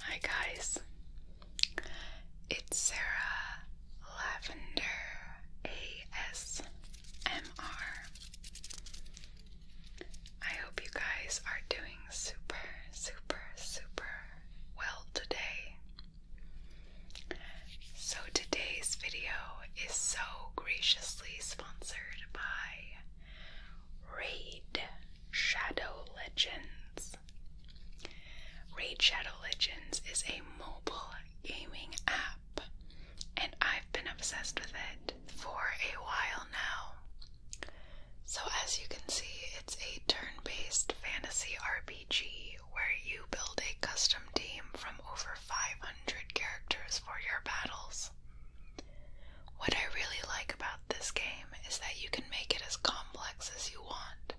Hi guys, it's Sarah Lavender ASMR. hope you guys are doing super, super, super well today. So today's video is so graciously sponsored by I Shadow Legends. Raid Shadow Legends is a mobile gaming app, and I've been obsessed with it for a while now. So, as you can see, it's a turn based fantasy RPG where you build a custom team from over 500 characters for your battles. What I really like about this game is that you can make it as complex as you want.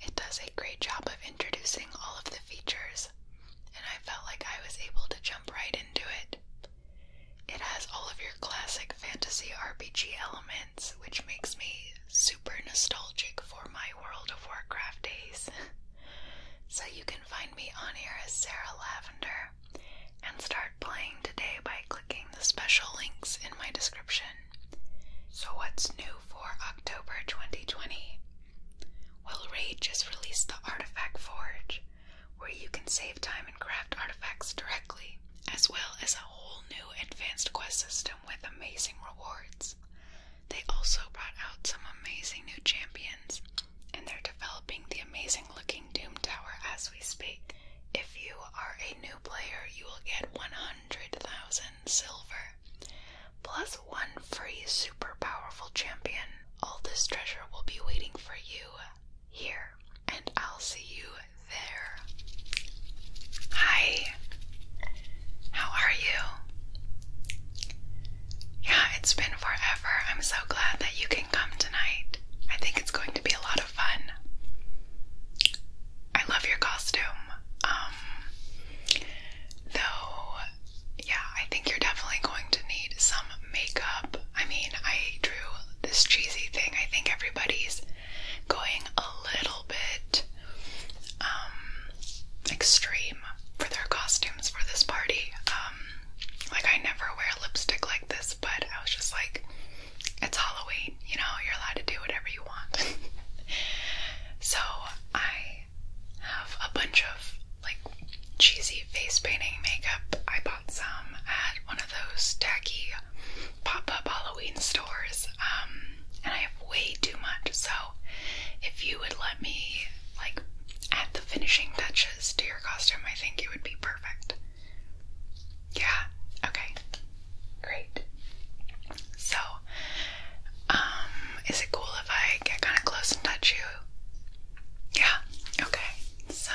It does a great job of introducing all of the features, and I felt like I was able to jump right into it. It has all of your classic fantasy RPG elements, which makes me super nostalgic for my World of Warcraft days. So you can find me on here as Sarah Lavender and start playing today by clicking the special links in my description. So, what's new for October 2020? Well, Raid just released the Artifact Forge, where you can save time and craft artifacts directly, as well as a whole new advanced quest system with amazing rewards. They also brought out some amazing new champions, and they're developing the amazing looking Doom Tower as we speak. If you are a new player, you will get 100,000 silver, plus one free super powerful champion. All this treasure will be waiting for you here, and I'll see you there. Hi, how are you? Yeah, it's been forever. I'm so glad that you can come tonight. I think it's going to be a lot of fun. I love your costume. Um, though, yeah, I think you're definitely going to need some makeup. I mean, I drew this cheesy thing. I think everybody's going a little bit um, extreme for their costumes for this party. Um, like I never wear lipstick like this, but I was just like, it's Halloween, you know, you're allowed to do whatever you want. so I have a bunch of like cheesy face painting makeup. I bought some at one of those tacky pop-up Halloween stores. Um, and I have way too much. So if you would let me like add the finishing touches to your costume, I think it would be perfect. Yeah, okay, great. So, um, is it cool if I get kind of close and touch you? Yeah, okay. So,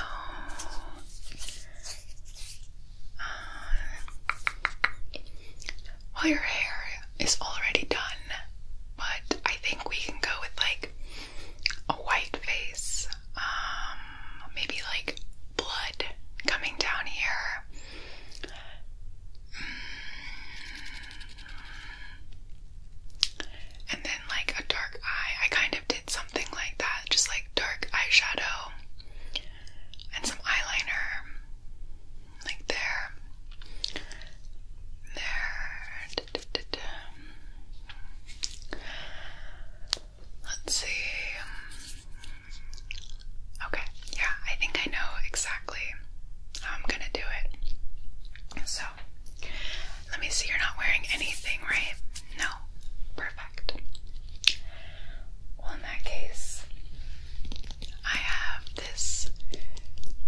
uh, well, your hair is already done, but I think we can go with like a white face, um, maybe like blood coming down here. Mm. And then, like a dark eye. I kind of did something like that, just like dark eyeshadow and some eyeliner like there, there. Let's see. Okay, yeah, I think I know exactly how I'm gonna do it. So, let me see, you're not wearing anything, right? No? Perfect. Well, in that case, I have this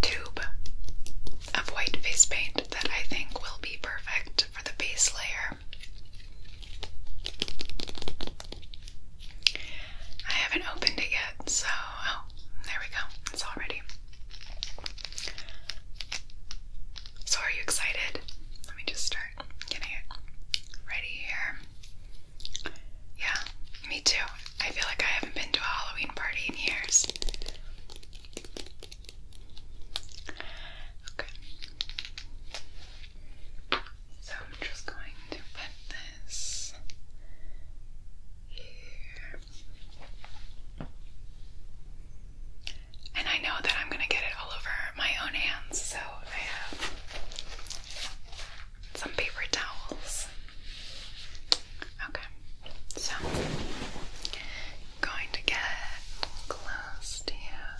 tube of white face paint that I think will be perfect for the base layer. I haven't opened it yet, so oh, there we go. It's all ready. So, are you excited? Let me just start getting it ready here. Yeah, me too. I feel like I haven't been to a Halloween party in years. Okay. So I'm just going to put this here. And I know that I'm going to get it all over my own hands, so I have some paper towels. Okay, so going to get close to you.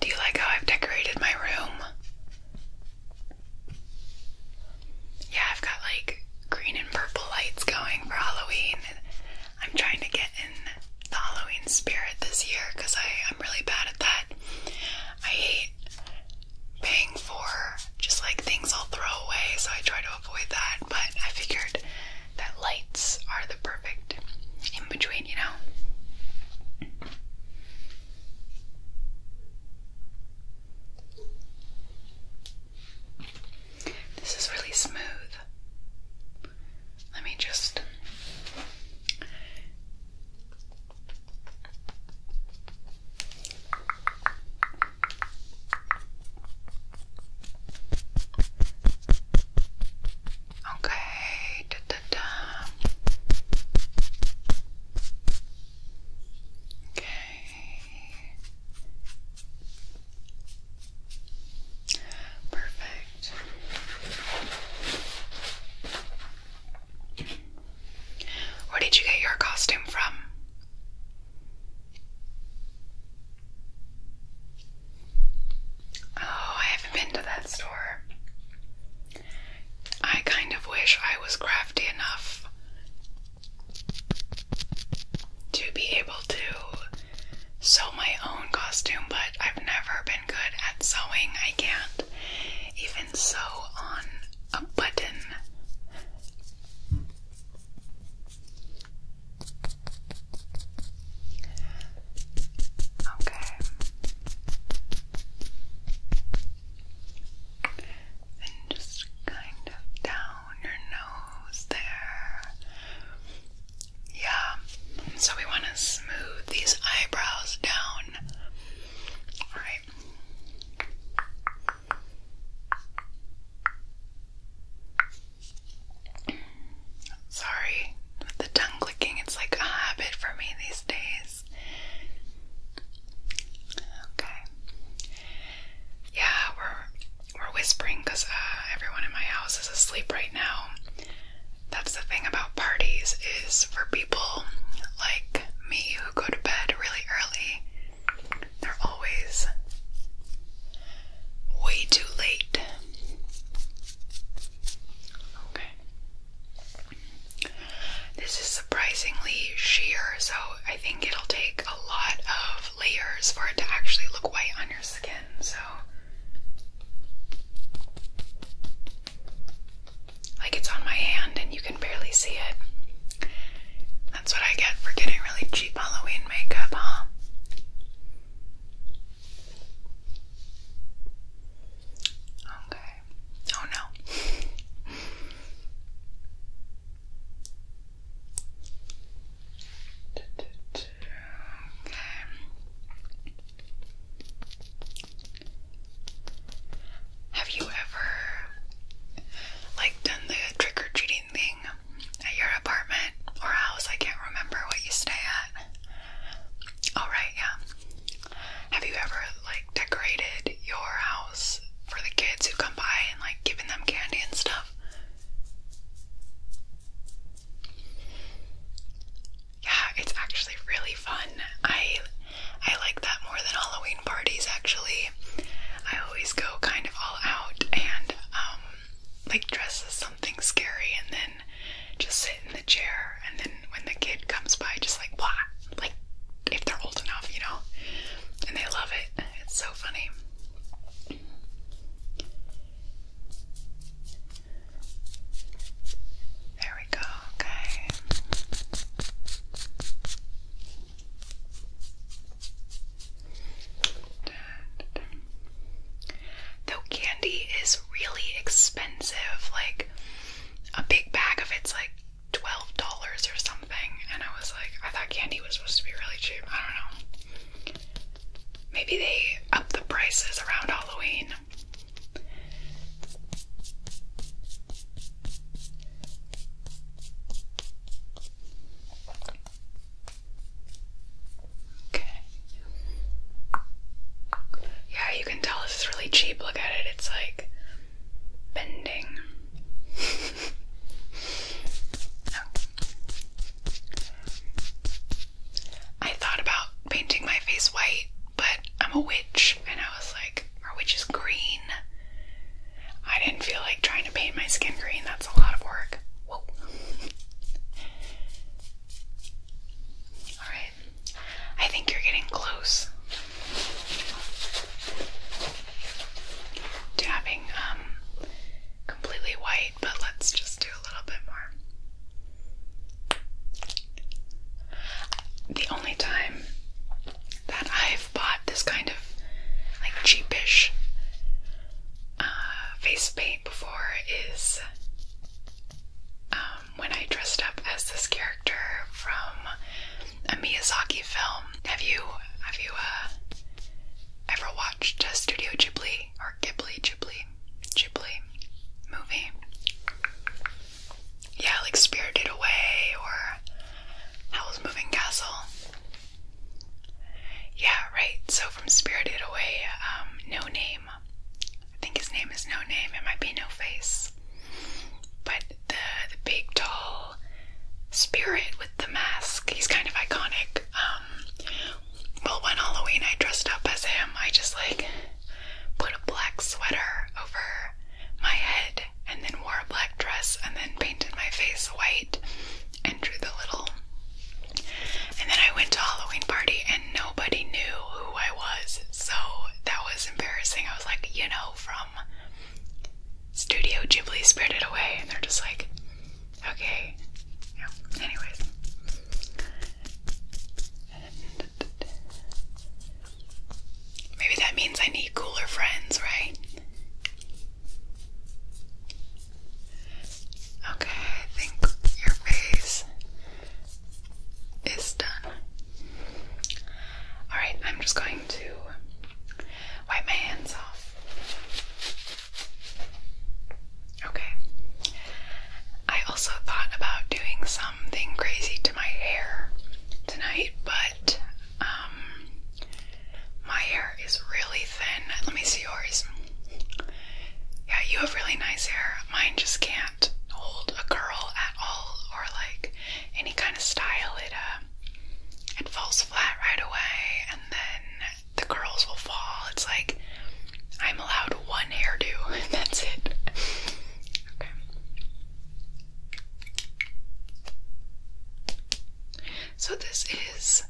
Do you like how I've decorated my room? Yeah, I've got like green and purple lights going for Halloween. I'm trying to get the Halloween spirit this year because I'm really bad at that. I hate paying for just like things I'll throw away, so I try to avoid that. But I figured that lights are the perfect in between, you know? This is really smooth. Let me just. Okay, Okay. Perfect. Where did you get your costume from? Oh, I haven't been to that store. I kind of wish I was crafty enough to be able to sew my own costume, but I've never been good at sewing. I can't even sew on a button. Okay. Then just kind of down your nose there. Yeah, so we want to smooth these eyebrows down. Alright. Sorry, the tongue clicking, it's like a habit for me these days. Okay. Yeah, we're we're whispering because uh, everyone in my house is asleep right now. That's the thing about parties is for people like me who go to bed really early, they're always way too late. Okay. This is surprisingly sheer, so I think it'll take a lot of layers for it to actually look white on your skin. So like it's on my hand and you can barely see it. That's what I get for getting really cheap Halloween makeup, huh? Okay. Oh no. Have you ever like done the trick or treating thing at your apartment or house? I can't remember what you stay at. All oh, right, yeah. Have you ever like decorated your house for the kids who come by and like giving them candy and stuff? Yeah, it's actually really fun. I I like that more than Halloween parties actually. I always go kind of all out and um like dress as something scary and then just sit in the chair and then when the kid comes by just like blah like if they're old enough, you know. And they love it. It's so funny. There we go, okay. Though candy is really expensive, like a big bag of it's like $12 or something, and I was like, I thought candy was supposed to be really cheap. I don't know. Maybe they up the prices around Halloween. Okay. Yeah, you can tell this is really cheap. Look at it, it's like bending. I thought about painting my face white, but I'm a witch, and I was like, our witch is green. I didn't feel like trying to paint my skin green, that's a lot of work. Alright, I think you're getting close to having um, completely white but let's just do a little bit more. The only time that I've bought this kind of like cheapish uh, face paint before is um, when I dressed up as this character from a Miyazaki film. Have you have you uh, ever watched uh, Studio Ghibli or Ghibli Ghibli? Ghibli movie. Yeah, like Spirited Away or Howl's Moving Castle. Yeah, right. So from Spirited Away, um, No Name. I think his name is No Name. It might be No Face. But the the big tall spirit with the mask, he's kind of iconic. Um, well, one Halloween I dressed up as him. I just like put a black sweater over my head and then wore a black dress and then painted my face white and drew the little. And then I went to a Halloween party and nobody knew who I was. So that was embarrassing. I was like, you know, from Studio Ghibli Spirited Away. And they're just like, Okay. Yeah. Anyways. Maybe that means I need cooler friends, right? Okay, I think your face is done. Alright, I'm just going to wipe my hands off. Okay. I also thought about doing something crazy to my hair tonight, but um my hair is really thin. Let me see yours. Yeah, you have really nice hair. Mine just can't hold a curl at all or like any kind of style. It uh it falls flat right away and then the curls will fall. It's like I'm allowed one hairdo, and that's it. okay. So this is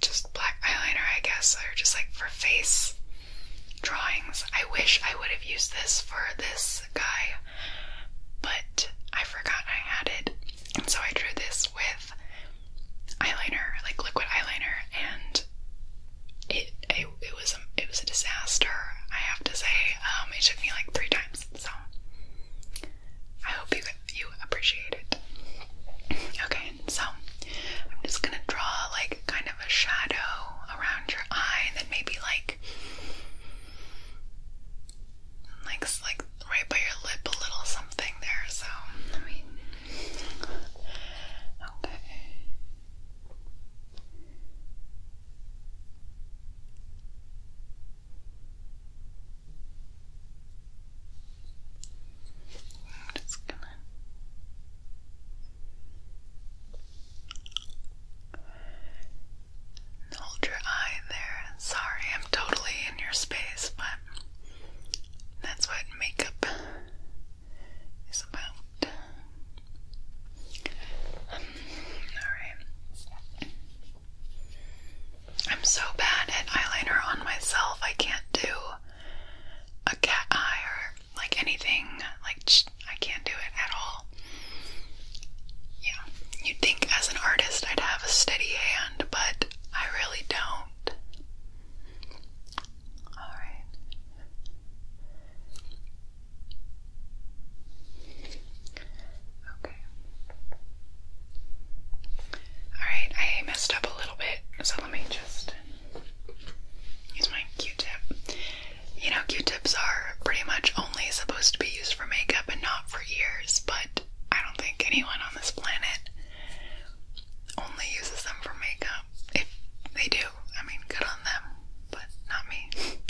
just black eyeliner, I guess, or just like for face drawings. I wish I would have used this for this guy, but I forgot I had it. And so I drew this with eyeliner, like liquid eyeliner, and it it, was a it was a disaster. I have to say, um, it took me like three times. So I hope you you appreciate it. Okay, so I'm just gonna draw like kind of a shadow around your eye, and then maybe like like like right by your lip a little something there. So Okay. just gonna Hold your eye there. Sorry, I'm totally in your space, but that's what makeup is about. Um, Alright. I'm so bad at eyeliner on myself, I can't do a cat eye or like anything. Like, I can't do it at all. Yeah, you'd think as an artist I'd have a steady hand, but I really don't. Alright. Okay. Alright, I messed up a little bit, so let me just use my q tip. You know, q tips are pretty much only supposed to be used for makeup and not for years, but I don't think anyone on this planet only uses them for makeup. If they do, I mean, good on them, but not me. Okay.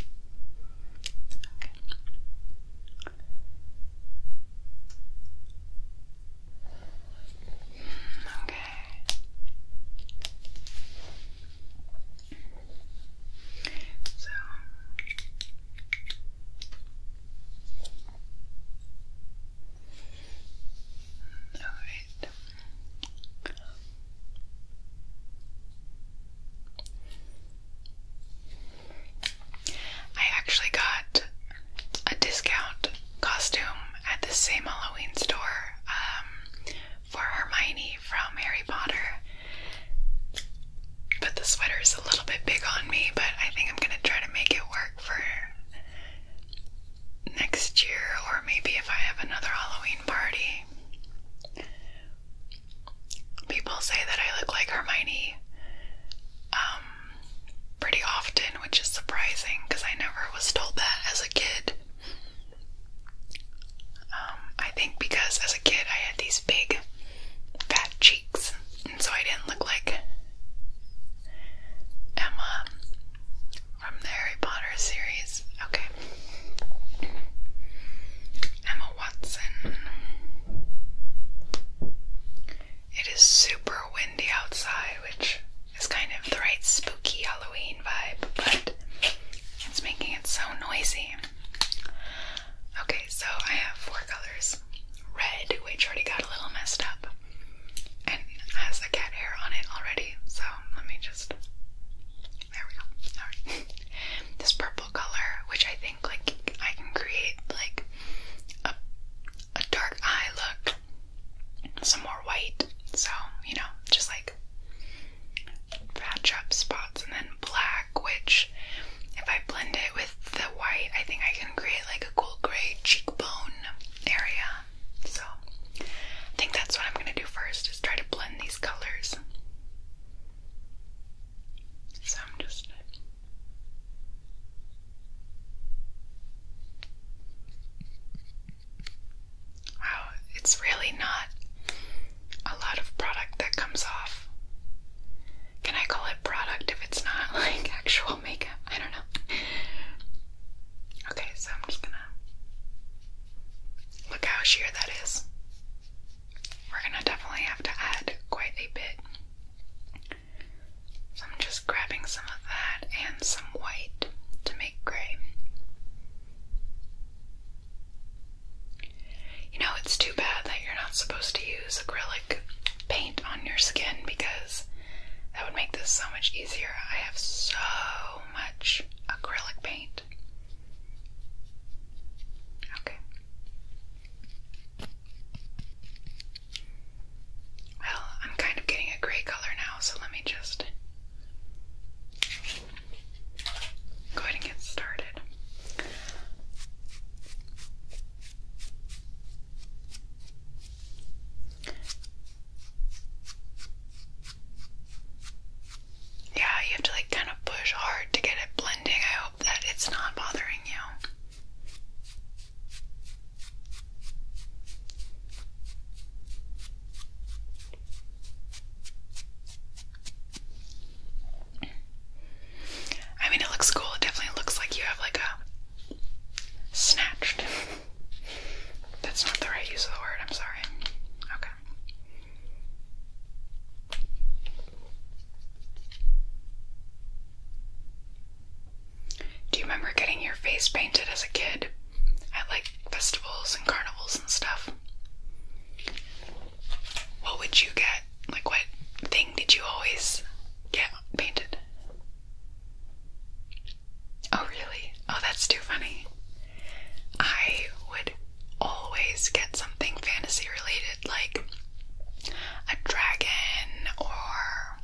So all right. I actually got a discount costume at the same Halloween store um, for Hermione from Harry Potter, but the sweater is a little bit big on me, but I think I'm gonna try to make it work for next year or maybe if I have another Halloween party. People say that I look like Hermione um, pretty often, which is surprising because I never was told that as a kid. Um, I think because as a kid I had these big fat cheeks, and so I didn't look like Emma from the Harry Potter series. Okay. Emma Watson. It is super windy outside, which is kind of the right spooky Halloween vibe, but it's making it so noisy. Okay, so I have four colors. Red, which already got a little messed up and has a cat hair on it already, so let me just. There we go. Alright. this purple color, which I think like I can create like a a dark eye look, some more white, so you know, just like patch up spots, and then black, which if I blend it with the white, I think I can create like a cool gray cheekbone area. So I think that's what I'm gonna do first is try to blend these colors. So I'm just Wow, it's really not a lot of product that comes off. Can I call it product if it's not like actual makeup? I don't know. Okay, so I'm just gonna look how sheer that is. We're gonna definitely have to add quite a bit. So I'm just grabbing some of that and some white to make gray. You know, it's too bad that you're not supposed to use acrylic paint on your skin because that would make this so much easier. I have so much acrylic paint. Okay. Well, I'm kind of getting a gray color now, so let me just Go ahead and get started. Yeah, you have to like kind of push hard to get it blending. I hope that it's not bothering you. I mean, it looks cool. It definitely looks like you have like a snatched. That's not the right use of the word. I'm sorry. Okay. Do you remember getting your face painted as a kid at like festivals and carnivals and stuff? What would you get? Like, what thing did you always get painted? Oh, really? Oh, that's too funny. I would always get something fantasy related, like a dragon, or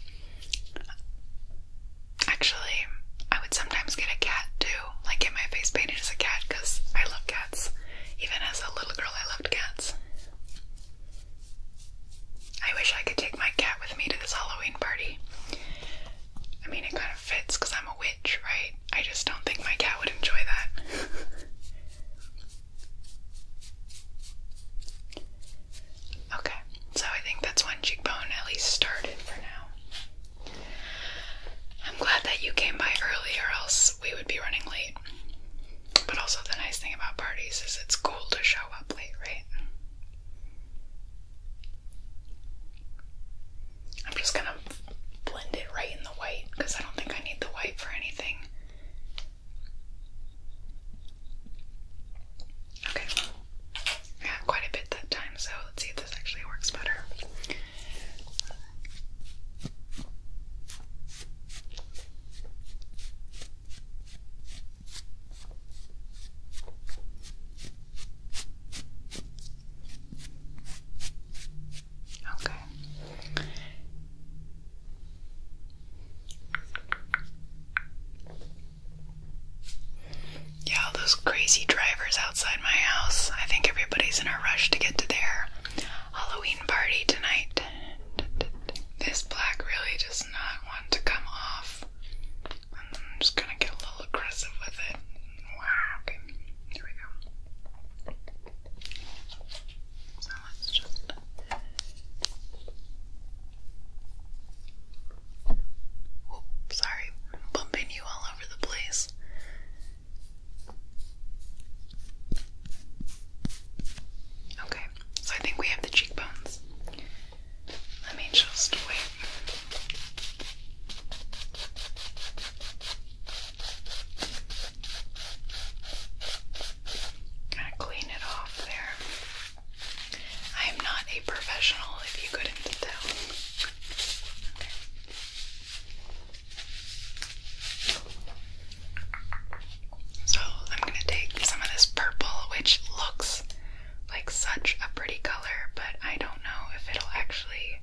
actually, I would sometimes get a cat too like get my face painted as a cat because I love cats. Even as a little girl, I loved cats. I wish I could take my cat with me to this Halloween party. I mean, it kind of fits because I'm a witch, right? I just don't think my cat would enjoy that. okay, so I think that's one cheekbone at least started for now. I'm glad that you came by early, or else we would be running late. But also, the nice thing about parties is it's cool to show up late, right? I'm just gonna blend it right in the white because I don't think I need the white for anything. Okay, I got quite a bit that time, so let's see this actually works better. Okay. Yeah, all those crazy drivers outside my house. I think everybody's in a rush to get to their Halloween party tonight. This black really does not want to come off. I'm just gonna get a little aggressive with it. Wow, Here we go. So let's just. Oh, sorry, bumping you all over the place. Okay, so I think we have the cheekbones. Let me just Kind of clean it off there. I am not a professional if you couldn't tell. Okay. So I'm going to take some of this purple, which looks like such a pretty color, but I don't know if it'll actually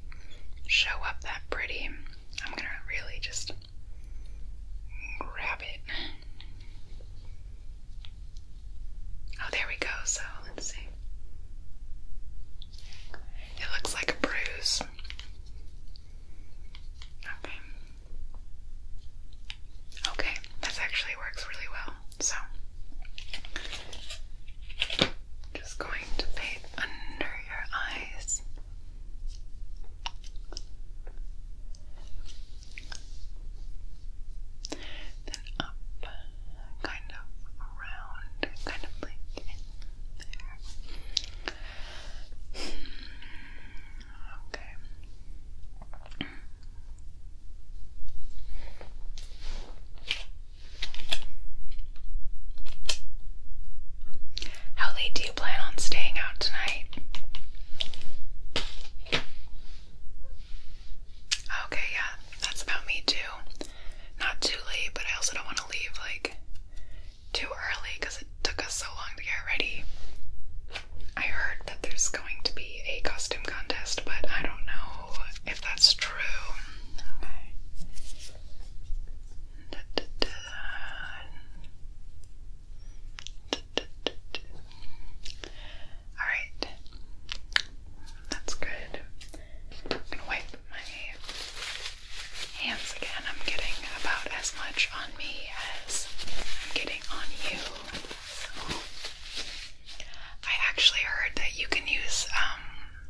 show up that pretty. I'm going to really just grab it. Oh, there we go. So let's see. It looks like a bruise. Okay. Okay, this actually works really well. So, just going to paint under your eyes. Then up kind of around, kind of like in there. Okay. How late do you plan on staying out tonight? Okay, yeah, that's about me too not too late, but I also don't want to leave like too early because it took us so long to get ready. I heard that there's going to be a costume contest, but I don't know if that's true. All right, that's good. I'm gonna wipe my hands again. I'm getting about as much on me as I'm getting on you. I actually heard that you can use um,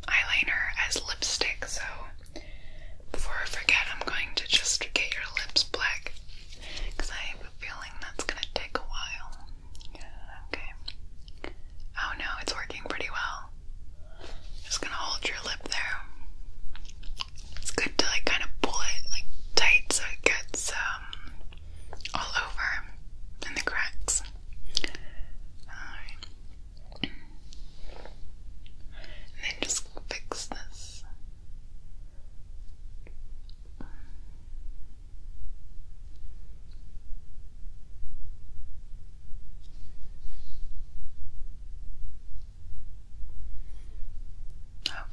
eyeliner as lipstick, so before I forget, I'm going to just get your lips black because I have a feeling that's gonna take a while. Okay. Oh no, it's working pretty well. Just gonna hold your lip there. It's good to like kind of pull it like tight so it gets um all over in the cracks. Alright. And then just fix this.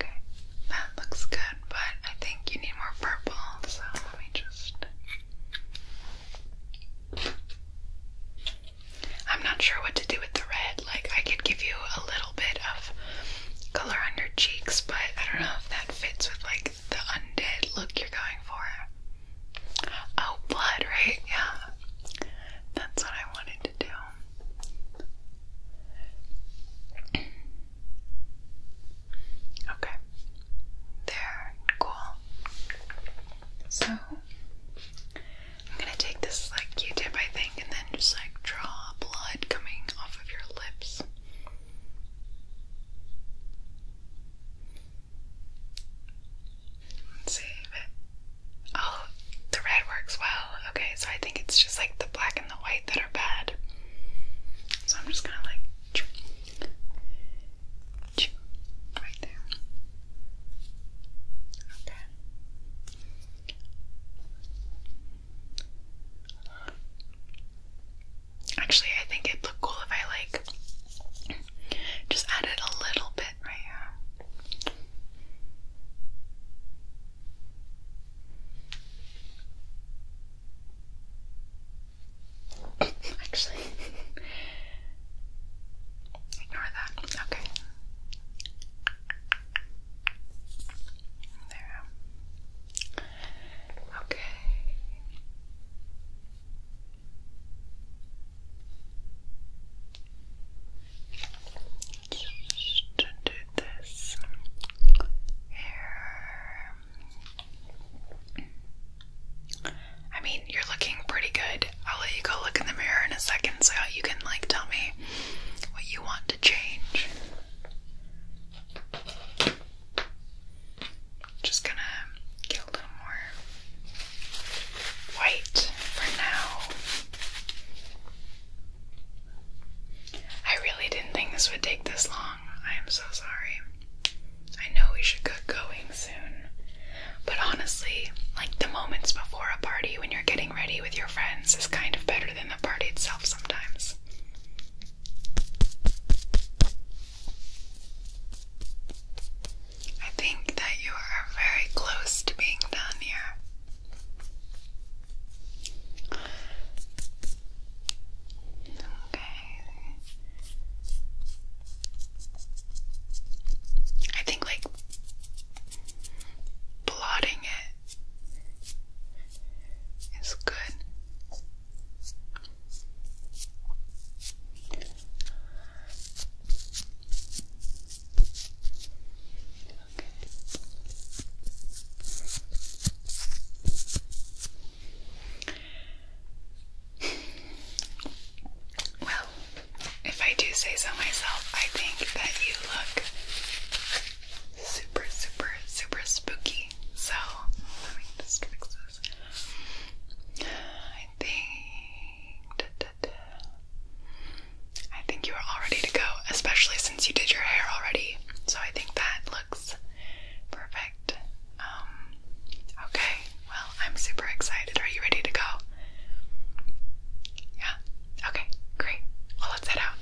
Okay, that looks good, but I think you need more purple, so let me just. I'm not sure what to do with the red. Like, I could give you a little bit of color on your cheeks, but I don't know if that fits with like the undead look you're going for. Oh, blood, right? Yeah. That's what I wanted to do. Okay. There. Cool. So, I'm gonna take this like Q-tip, I think, and then just like draw blood coming off of your lips. Save it. Oh, the red works well. Okay, so I think it's just like the black and the white that are bad. So I'm just gonna like right there. Okay. Actually, I think it'd look cool if I like just add it a little bit right here. Actually, ignore that. Okay. There. Okay. Just to do this here. I mean, you're looking pretty good. I'll let you go look in the mirror in a second so you can, like, tell me what you want to change. Just gonna get a little more white for now. I really didn't think this would take this long. I am so sorry. I know we should get going soon. But honestly, like the moments before a party when you're getting ready with your friends is kind of better than the party itself sometimes. I think that you are very close to being done here. Okay. I think like blotting it is good. Well, if I do say so myself, I think that you look super, super, super spooky. So, let me just fix this. I think. I think you are all ready to go, especially since you did your hair already. So I think that looks perfect. Um, okay, well, I'm super excited. Are you ready to go? Yeah? Okay, great. Well, let's head out.